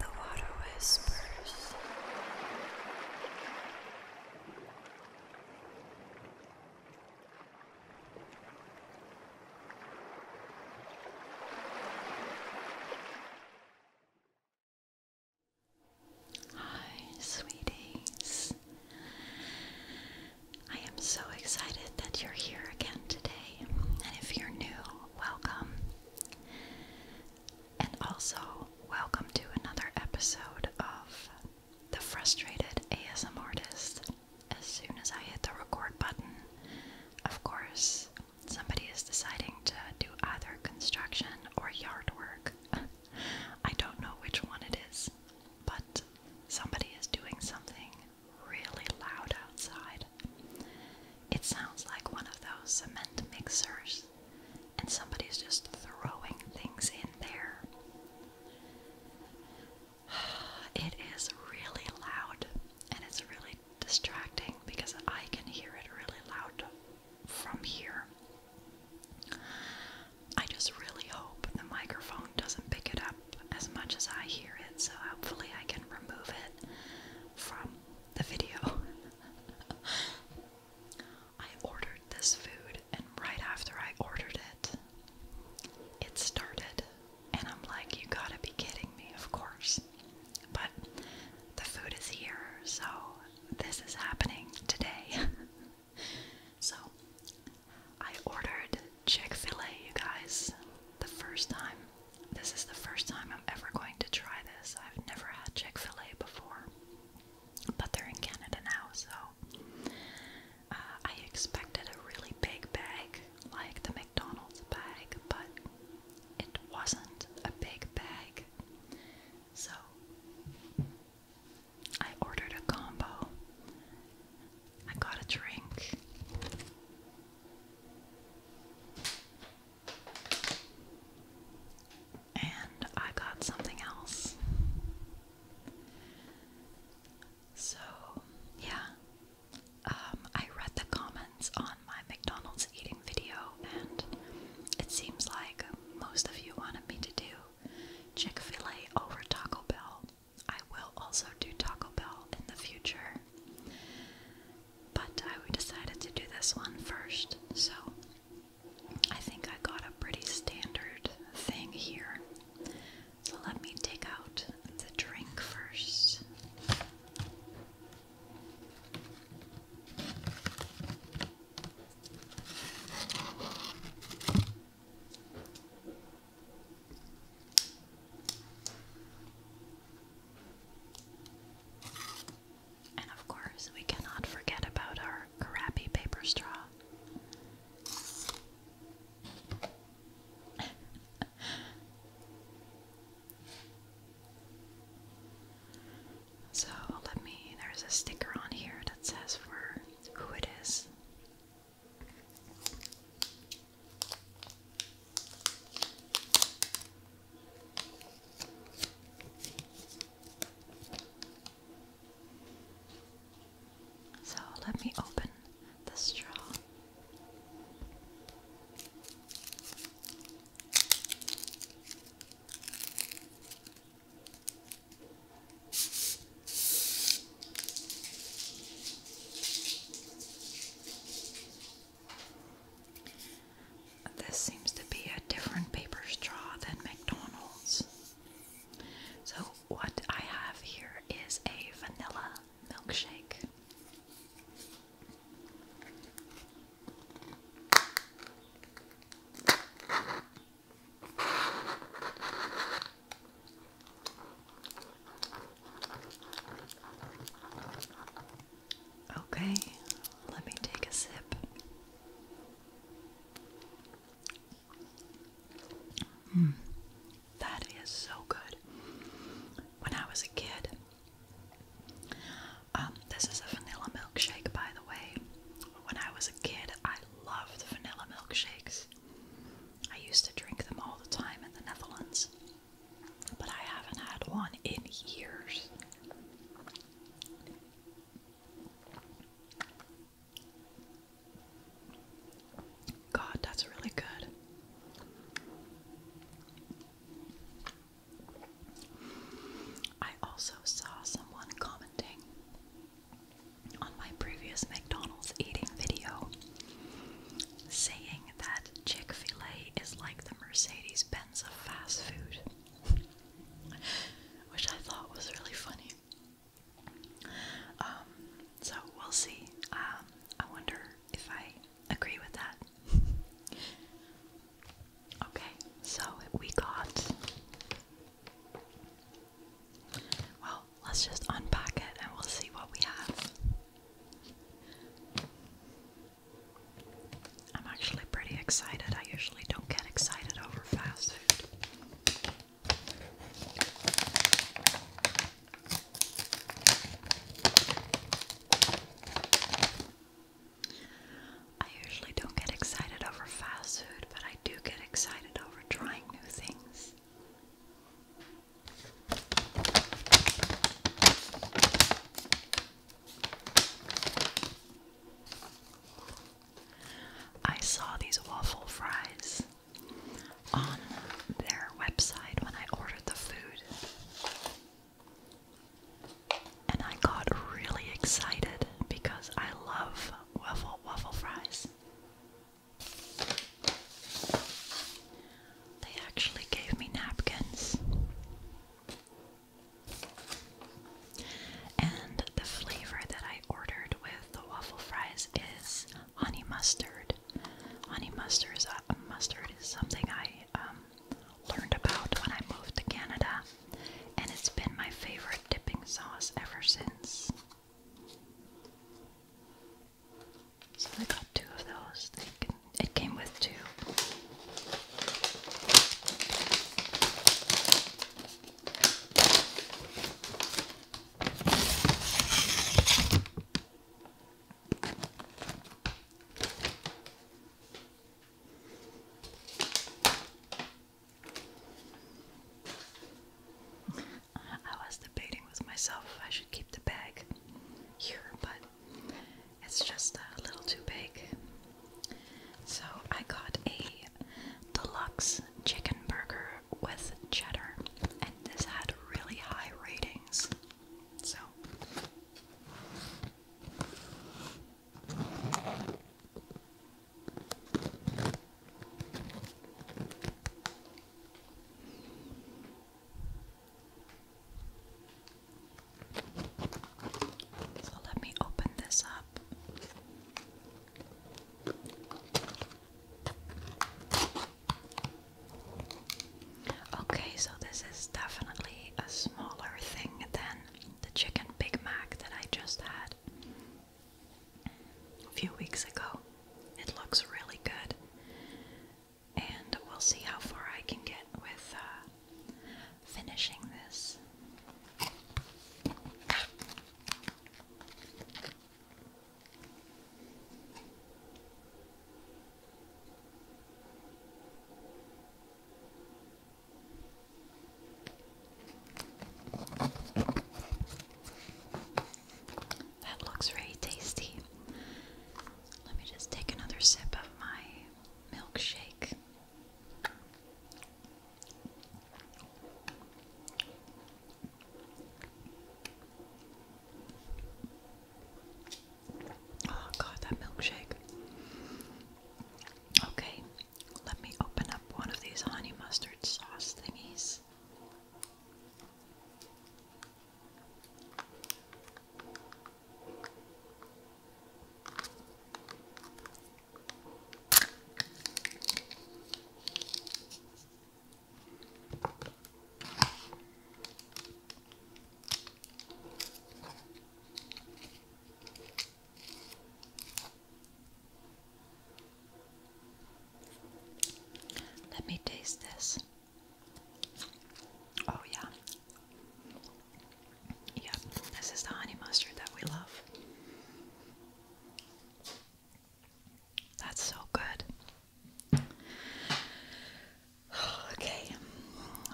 The water whispers. Hi, sweeties. I am so excited that you're here again today. And if you're new, welcome. And also, welcome to another episode of The Frustrated ASM Artist. As soon as I hit the record button, of course, somebody is deciding to do either construction or yard work. I don't know which one it is, but somebody is doing something really loud outside. It sounds like one of those cement mixers, and somebody's just throwing things in there. It is really loud, and it's really distracting because I can hear it really loud from here. I just really hope the microphone doesn't pick it up as much as I hear it, so hopefully I can remove it from the video. I ordered this food, and right after I ordered it, it started. And I'm like, you gotta be kidding me, of course. But the food is here, so this is happening today. so I ordered Chick fil A, you guys, the first time. This is the first time I'm ever going to try this. I've never had Chick fil A before, but they're in Canada now, so uh, I expected a really big bag like the McDonald's bag, but it wasn't a big bag. So I ordered a combo. I got a drink. And I got something else. So, yeah. Um, I read the comments on my McDonald's eating video, and it seems like most of you wanted me to do Chick fil A over Taco Bell. I will also do Taco Bell in the future but I decided to do this one first, so I think I got a pretty standard thing here. So let me take out the drink first. And of course, we cannot forget about our crappy paper straw. so let me, there's a sticker on here that says for who it is. So let me open the straw. This seems to be a different paper straw than McDonald's. So, what I have here is a vanilla milkshake. Okay, let me take a sip. Mm, that is so good. When I was a kid, um, this is a vanilla milkshake, by the way. When I was a kid, I loved vanilla milkshakes. I used to drink them all the time in the Netherlands but I haven't had one in years. God, that's really good. I also saw someone commenting on my previous McDonald's eating video saying that Chick fil A is like the Mercedes Benz of fast food, which I thought was really funny. Um, so we'll see. Um, I wonder if I agree with that. okay, so we got. Well, let's just unpack it and we'll see what we have. I'm actually pretty excited. I usually don't get excited over fast food. I usually don't get excited over fast food, but I do get excited over trying new things. I saw these waffle fries on their website when I ordered the food. And I got really excited because I love waffle waffle fries. They actually gave me napkins. And the flavor that I ordered with the waffle fries is honey mustard. Honey mustard is, uh, mustard is something I um, learned about when I moved to Canada, and it's been my favorite dipping sauce ever since. So I got two of those. They it came with two. I was debating with myself if I should keep the bag here, but it's just a little too big. So I got a deluxe chicken burger with cheddar, and this had really high ratings. So. So let me open this up. Okay, so this is definitely a smaller thing than the chicken Big Mac that I just had a few weeks ago. It looks really good and we'll see how far I can get with uh, finishing this. That looks very tasty. Let me just take another sip of my milkshake. Oh god, that milkshake. Okay, let me open up one of these honey mustard sauce thingies. Let me taste this. Oh yeah. Yep, this is the honey mustard that we love. That's so good. Okay,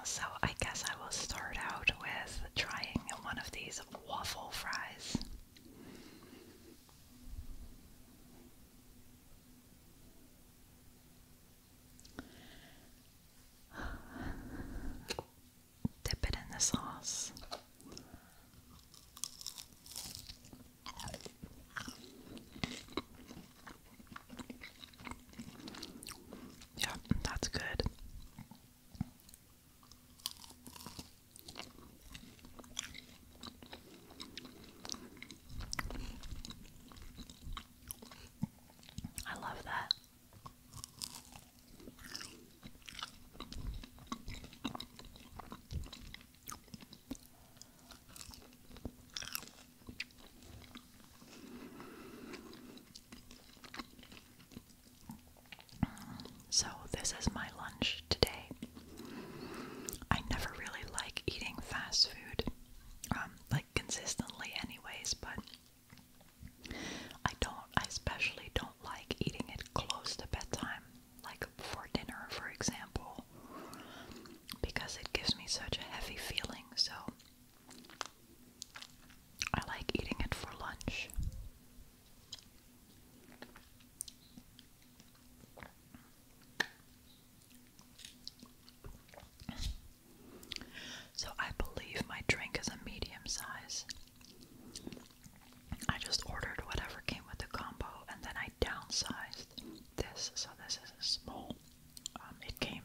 so I guess I will start out with trying one of these waffle fries. Dip it in the sauce. Yeah, that's good. I love that. So, this is my lunch today. I never really like eating fast food. Um, like consistently, anyways, but I don't, I especially don't like eating it close to bedtime, like for dinner, for example, because it gives me such a heavy feeling. So I like eating it for lunch. So I believe my drink is a medium size. I just ordered whatever came with the combo and then I downsized this, so this is a small. Um, it came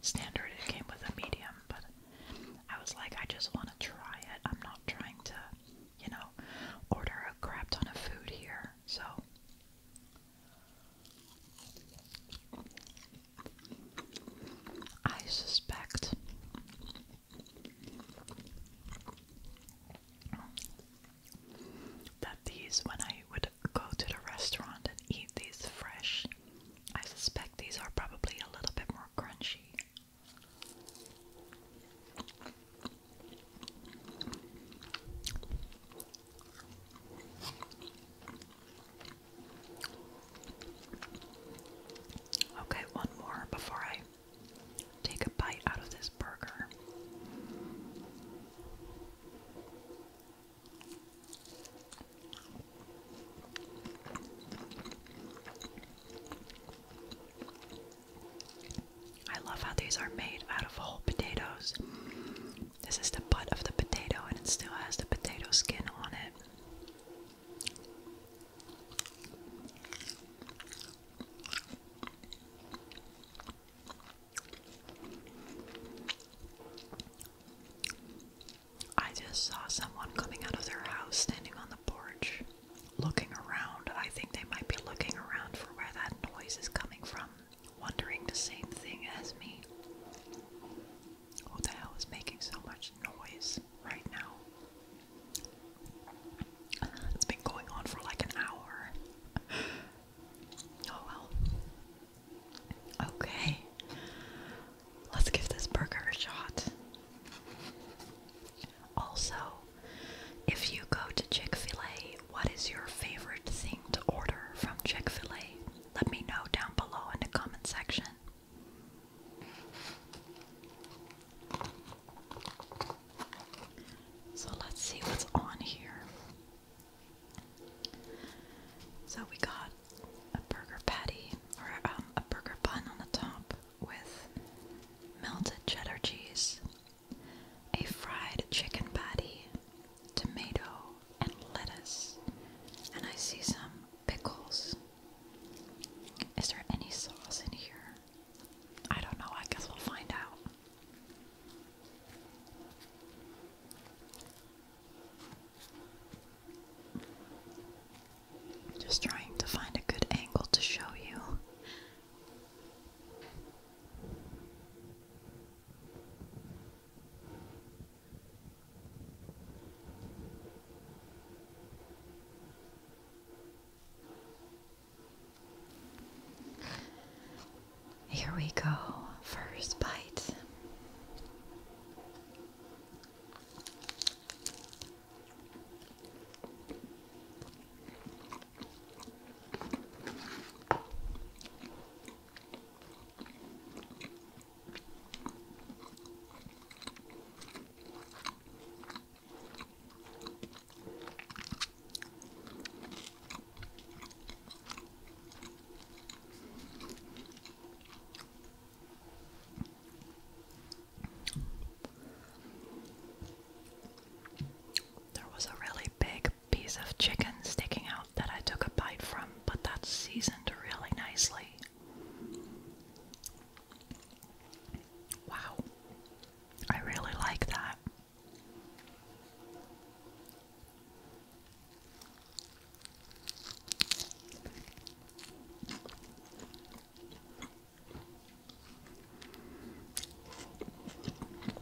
standard, it came with a medium, but I was like, I just want to try it. I'm not trying to, you know, order a crap ton of food here, so I suspect that these, when I would go to the restaurant and eat these fresh, I suspect these are probably a little bit more crunchy. Okay, one more before I take a bite out of this burger. I love how these are made out of whole potatoes. This is the butt of the potato, and it still has the potato skin on it. I just saw someone coming out of their house standing on the porch looking around. I think they might be looking around for where that noise is coming from wondering the same thing as me. Who the hell is making so much noise right now? It's been going on for like an hour. Oh well. Okay. Let's give this burger a shot. Also, if you go to Chick fil A, what is your favorite thing to order from Chick fil A? Let me know down below in the comment section. So let's see what's on here. So we got a burger patty or um, a burger bun on the top with melted cheddar cheese, a fried chicken patty, tomato, and lettuce, and I see some pickles. Is there any sauce in here? I don't know, I guess we'll find out. Just trying to find a good angle to show you. Here we go, first bite. There was a really big piece of chicken sticking out that I took a bite from, but that's seasoned really nicely. Wow, I really like that.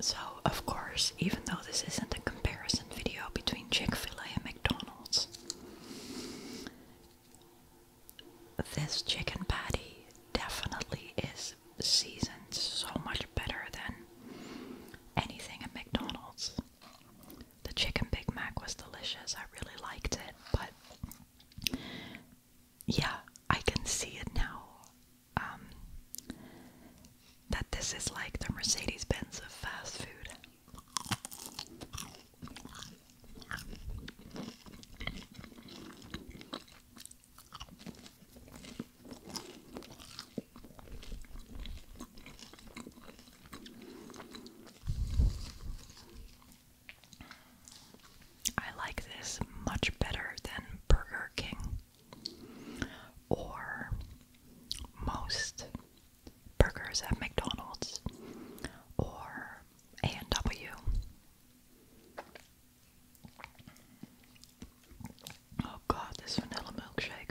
So, of course, even though this isn't a comparison video between Chick fil A and McDonald's, this chicken patty definitely is seasoned so much better than anything at McDonald's. The chicken Big Mac was delicious. I really liked it, but yeah, I can see it now. Um, that this is like the Mercedes Benz of fast food. I like this much better than Burger King or most burgers at McDonald's or A&W. Oh god, this vanilla milkshake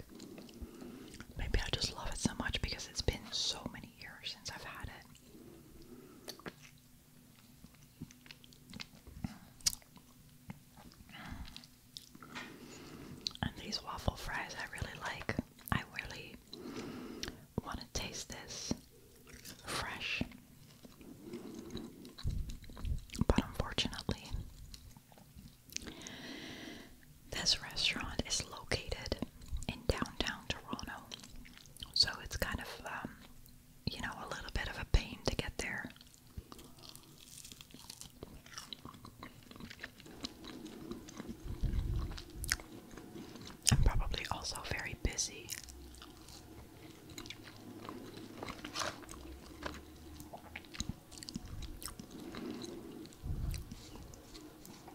maybe I just love it so much because it's been so many years since I've had it. And these waffle fries I really like. I really want to taste this fresh. But unfortunately, this restaurant is located in downtown Toronto, so it's kind of, um, you know, a little bit of a pain to get there. I'm probably also very busy.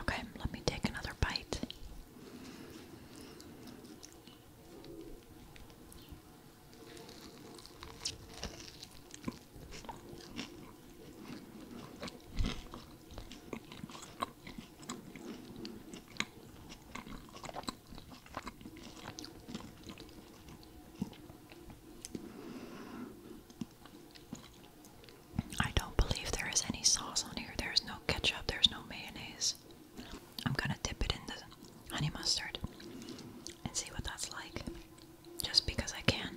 Okay, let me take another bite. I don't believe there is any sauce on here. There's no ketchup, there's no mayonnaise. I'm gonna dip it in the honey mustard and see what that's like. Just because I can.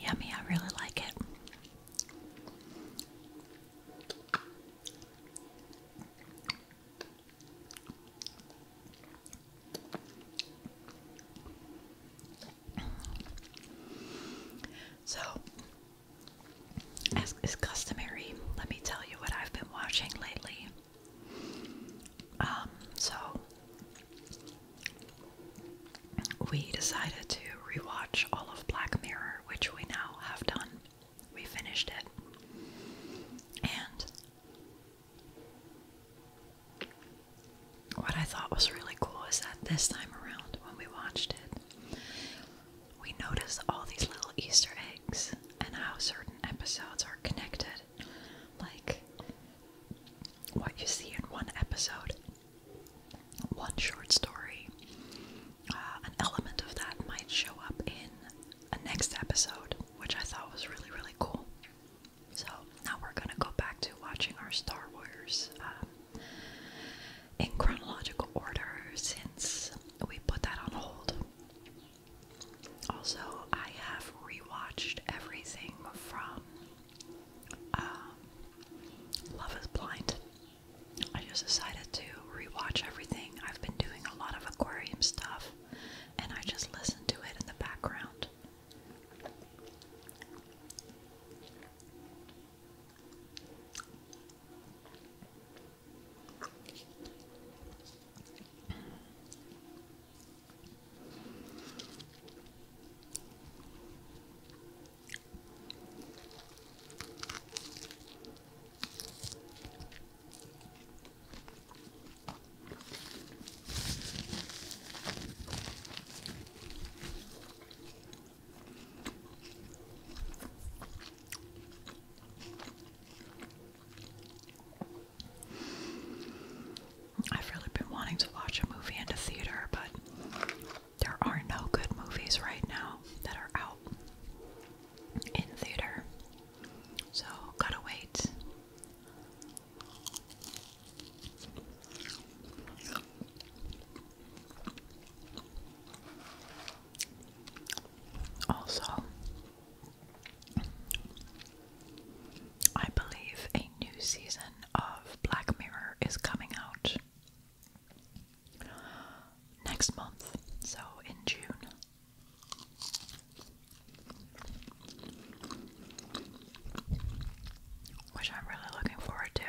Yummy, I really like it. So, as is customary, let me tell you what I've been watching lately. Um, so we decided to rewatch all of Black Mirror, which we now have done. We finished it. And what I thought was really cool is that this time around, when we watched it, we noticed all these little Easter eggs and how certain episodes are connected. Like, what you see in one episode one short story. Uh, an element of that might show up in a next episode, which I thought was really, really cool. So now we're gonna go back to watching our Star Wars um, in chronological order since we put that on hold. Also, I have rewatched everything from um, Love is Blind. I just decided to rewatch everything. I've been doing a lot of aquarium stuff, and I just listen to it in the background. I've really been wanting to watch a movie in a theater, but there are no good movies right now that are out in theater. So, gotta wait. Also, I believe new season of Black Mirror is coming out next month, so in June. Which I'm really looking forward to.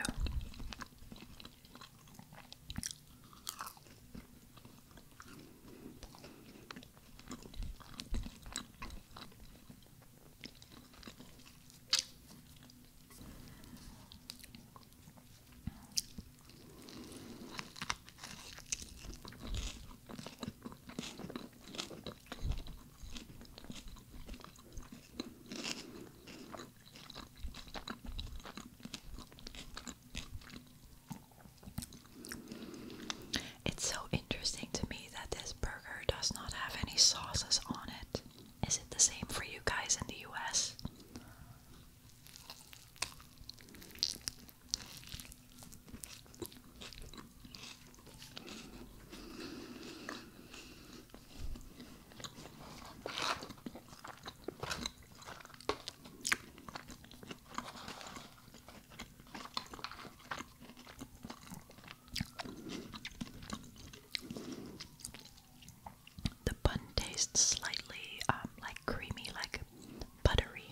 It's so interesting to me that this burger does not have any sauces on it. Is it the same for you guys in the US? The bun tastes slightly um, like creamy, like buttery.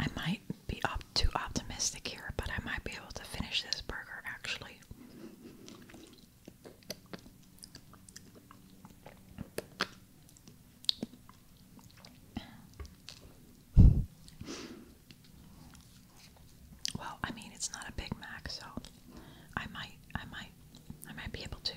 I might be too optimistic here, but I might be able to finish this burger actually. Well, I mean, it's not a Big Mac, so I might, I might, I might be able to.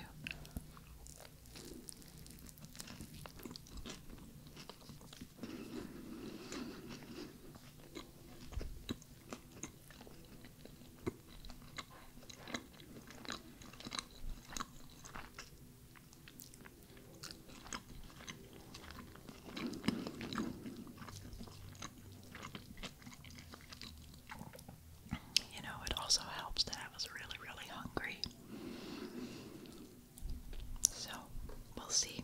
You know, it also helps that I was really, really hungry. So, we'll see.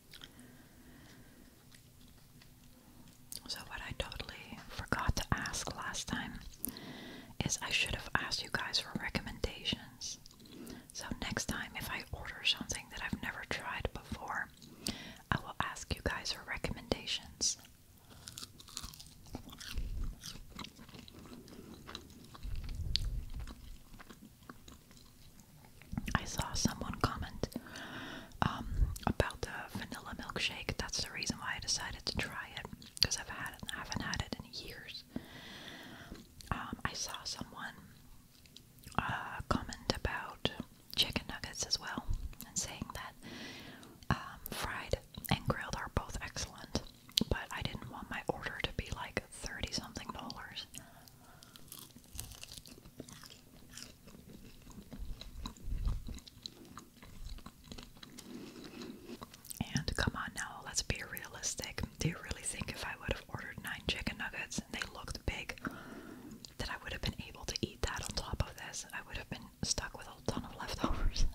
So, what I totally forgot to ask last time is I should have asked you guys for recommendations. So, next time, if I order something that I've never tried before, I will ask you guys for recommendations. I saw someone comment um, about the vanilla milkshake. That's the reason why I decided to try it because I've had it, I haven't had it in years. Um, I saw someone uh, comment about chicken nuggets as well, and saying that um, fried and grilled are both excellent, but I didn't want my order to be like thirty something dollars. And come on now, let's be realistic. Do you really think if I would have ordered nine chicken nuggets and they looked big, that I would have been able to eat that on top of this? I would have been stuck with a ton of leftovers.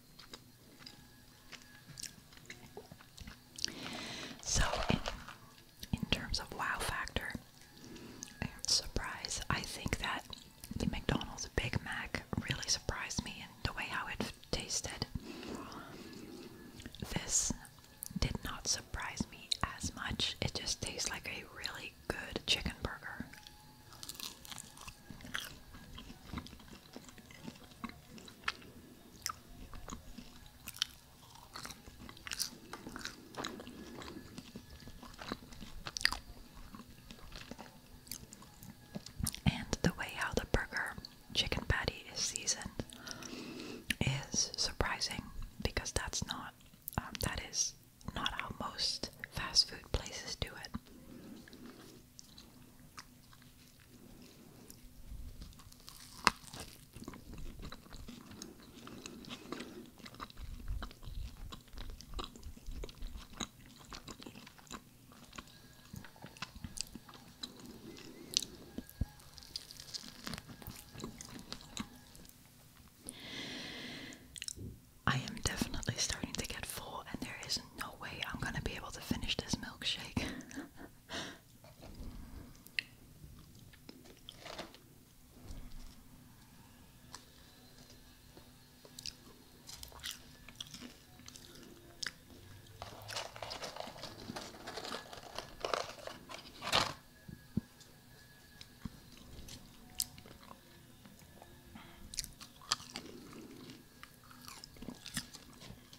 So, in, terms of wow factor and surprise, I think that the McDonald's Big Mac really surprised me in the way how it tasted. This did not surprise me as much, it just tastes like a really good chicken burger. And the way how the burger chicken patty is seasoned is surprising because that's not um, that is not how most fast food places do it. I am definitely starting to get full, and there is no way I'm gonna be able to finish this milkshake.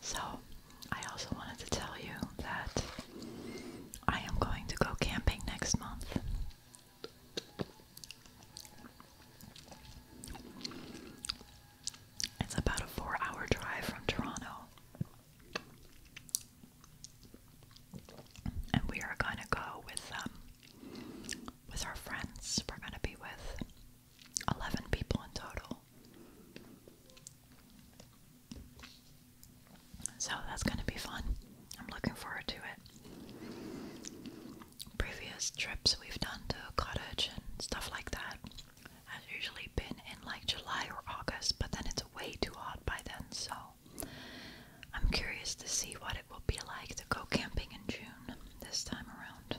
So, I also wanted to tell you that I am going to go camping next month. It's about a four hour drive from Toronto. And we are gonna go with um, with our friends. We're gonna be with 11 people in total. So that's going to be fun. I'm looking forward to it. Previous trips we've done to a cottage and stuff like that has usually been in like July or August, but then it's way too hot by then, so I'm curious to see what it will be like to go camping in June this time around.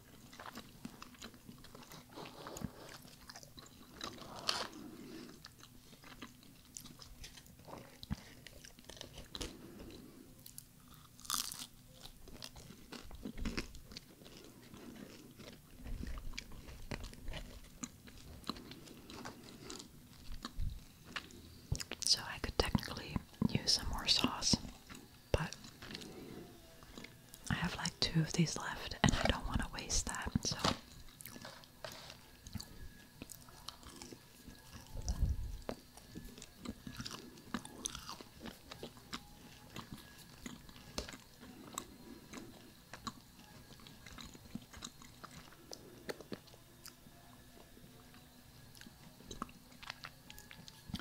So I could technically use some more sauce, but I have like two of these left, and I don't want to waste that, so.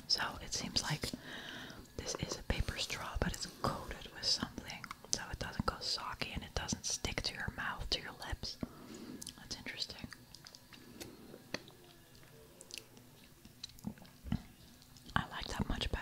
So it seems like this is a paper straw, but it's coated with something so it doesn't go soggy and it doesn't stick to your mouth, to your lips. That's interesting. I like that much better.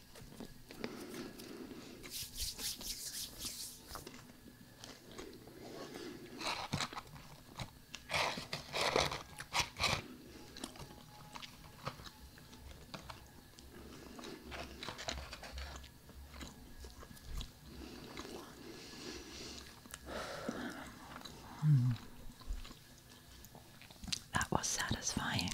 That was satisfying.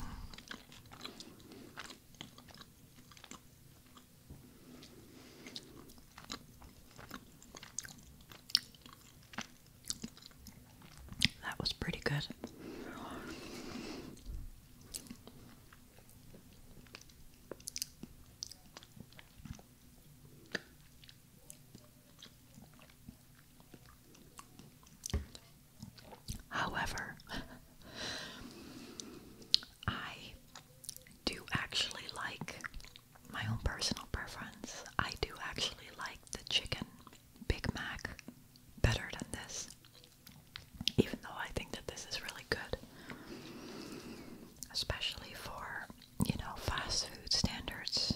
That was pretty good. However, I do actually like my own personal preference. I do actually like the chicken Big Mac better than this, even though I think that this is really good, especially for you know fast food standards.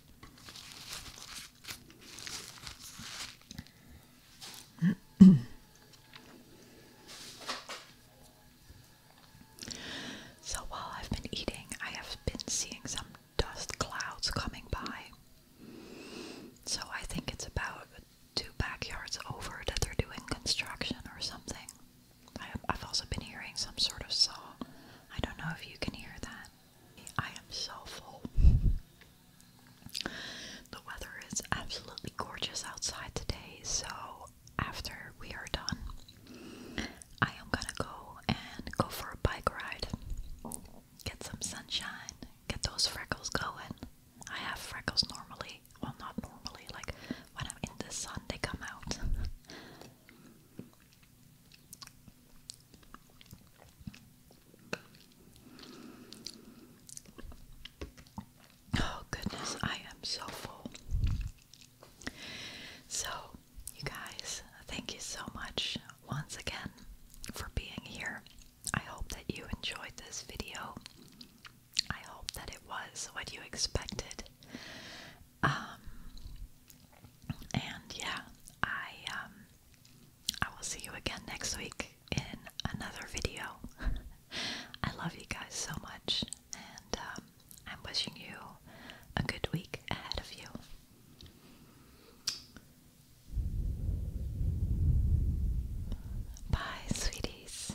so while I've been eating, I have been seeing some dust clouds coming by. So I think it's about two backyards over that they're doing construction or something. I, I've also been hearing some sort of saw. I don't know if you can hear that. I am so full. The weather is absolutely gorgeous outside today, so after we are done, I am gonna go and go for a bike ride. Get some sunshine, get those freckles going. I have freckles normally, well, not normally, like when I'm in the sun, they come out. Oh, goodness, I am so full. So, you guys, thank you so much once again for being here. I hope that you enjoyed this video. I hope that it was what you expected um, and yeah, I um, I will see you again next week in another video. I love you guys so much, and um, I'm wishing you a good week ahead of you. Bye, sweeties.